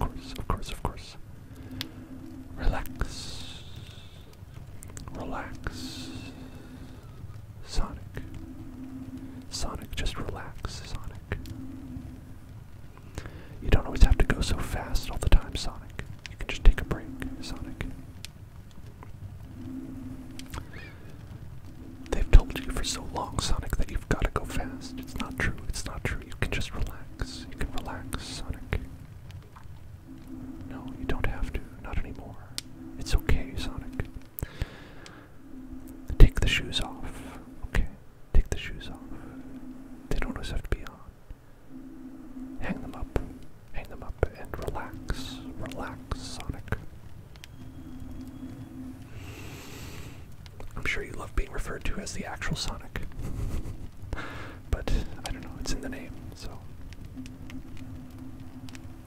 Of course, of course, of course. Relax. Relax. Sonic. Sonic, just relax, Sonic. You don't always have to go so fast all the time, Sonic. You can just take a break, Sonic. They've told you for so long, Sonic, that you've got to go fast. It's not true. It's not true you can just relax. You can relax, Sonic. No, you don't have to. Not anymore. It's okay, Sonic. Take the shoes off. Okay. Take the shoes off. They don't always have to be on. Hang them up. Hang them up and relax. Relax, Sonic. I'm sure you love being referred to as the actual Sonic. but I don't know, it's in the name, so.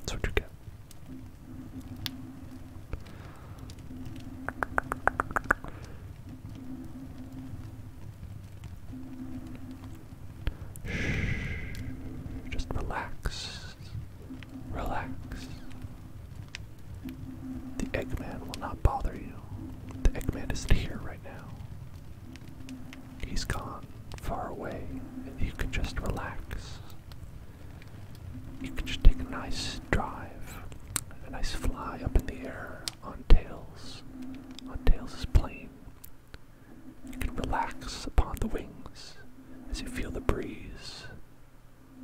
That's what you get. Shh. Just relax. Relax. The Eggman will not bother you. The Eggman isn't here right now. He's gone, far away, you can just relax. You can just take a nice drive, a nice fly up in the air on Tails, on Tails' is plane. You can relax upon the wings as you feel the breeze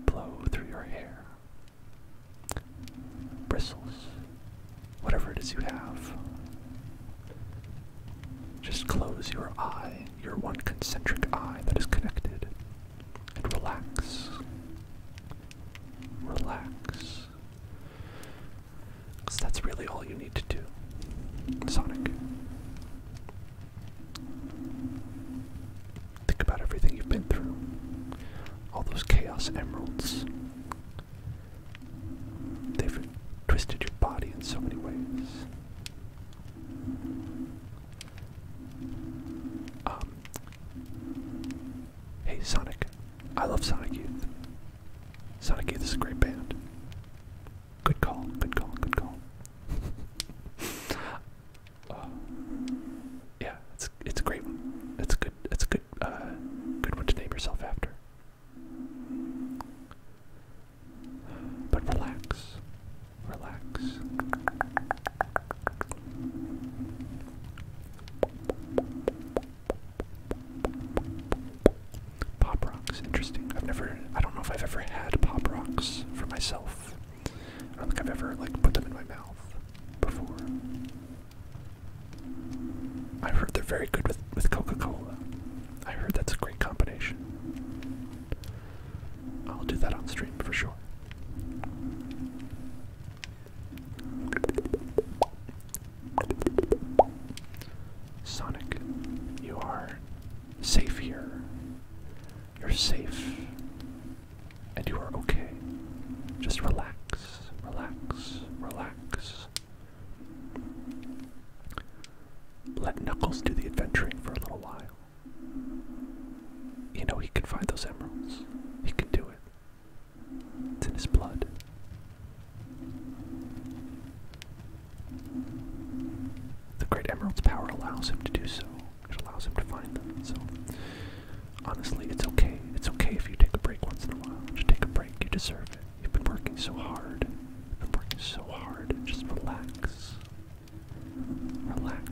blow through your hair bristles, whatever it is you have. Just close your eye, your one concentric eye that is connected, and relax. Relax. Because that's really all you need to do, Sonic. Think about everything you've been through. All those chaos emeralds. They've twisted your body in so many ways. Um, hey, Sonic. I love Sonic Youth. Sonic Youth is a great band. Good call, good call, good call. Oh. yeah, it's it's a great one. It's a good it's a good uh, good one to name yourself after. But relax, relax. Pop rocks, interesting. I've never, I don't know if I've ever had pop rocks for myself. I don't think I've ever like put them in my mouth before. i heard they're very good with with Coca-Cola. I heard that's a great combination. I'll do that on stream for sure. Sonic, you are safe here. You're safe and you are okay. Just relax, relax, relax. Let Knuckles do the adventuring for a little while. You know, he can find those emeralds, he can do it. It's in his blood. The Great Emerald's power allows him to do so, it allows him to find them. So honestly, it's okay. It's okay if you take a break once in a while. Just take a break. You deserve it. You've been working so hard. You've been working so hard. Just relax. Relax.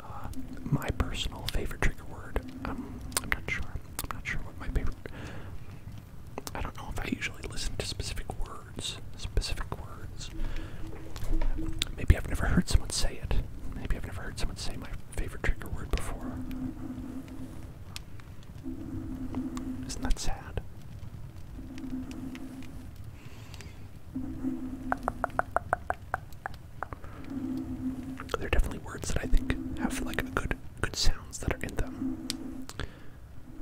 Uh, my personal favorite trigger word. Um, I'm not sure. I'm not sure what my favorite. I don't know if I usually listen to specific word specific words. Maybe I've never heard someone say it. Maybe I've never heard someone say my favorite trigger word before. Isn't that sad? There are definitely words that I think have like good good sounds that are in them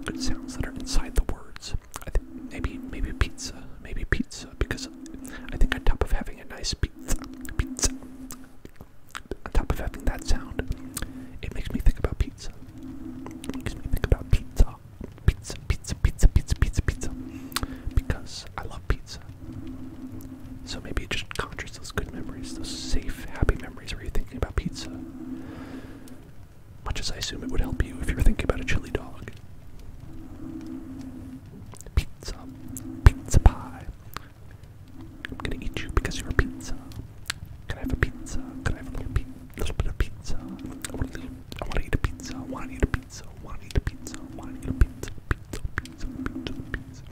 good sounds that are inside the words. I think maybe maybe pizza, maybe pizza, because I think on top of having a nice pizza, pizza, on top of having that sound, it makes me think about pizza. It makes me think about pizza, pizza, pizza, pizza, pizza, pizza, pizza, because I love pizza. So maybe it just conjures those good memories, those safe, happy memories where you're thinking about pizza. Much as I assume it would help you if you were thinking about a chili dog. Pizza. Pizza pie. I'm gonna eat you because you're a pizza. Can I have a pizza? Can I have a little, pe little bit of pizza? I want, a little, I want to eat a pizza. I want to eat a pizza. I want to eat a pizza. I want to eat a pizza. Pizza, pizza, pizza, pizza.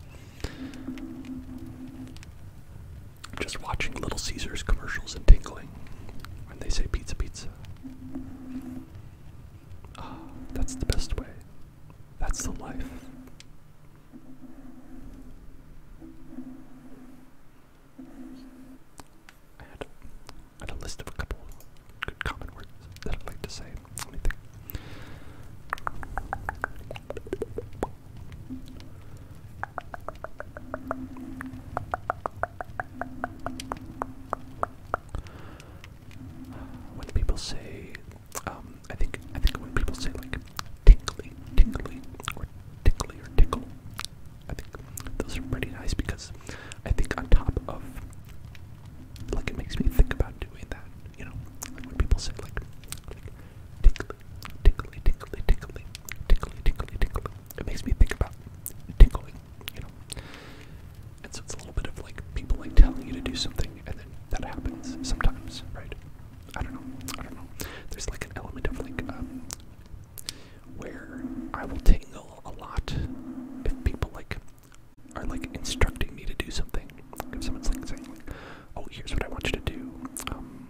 Just watching Little Caesars commercials and tingling when they say pizza, pizza. Ah, that's the best way. That's the life. I had, a list of a couple good common words that I'd like to say. When people say, um, I think, I think when people say like tingly, tingly, or tickly or tickle, I think those are pretty nice because I think on top of, like, it makes me think about doing that. You know, like when people say like tickly, tickly, tickly, tickly, tickly, tickly, tickly, it makes me think about tinkling, you know. And so it's a little bit of like people like telling you to do something, and then that happens sometimes, right? I don't know. I don't know. There's like an element of like um, where I will tingle a lot if people like are like instructing me to do something. If someone's like saying like, "Oh, here's what I want you to do," um,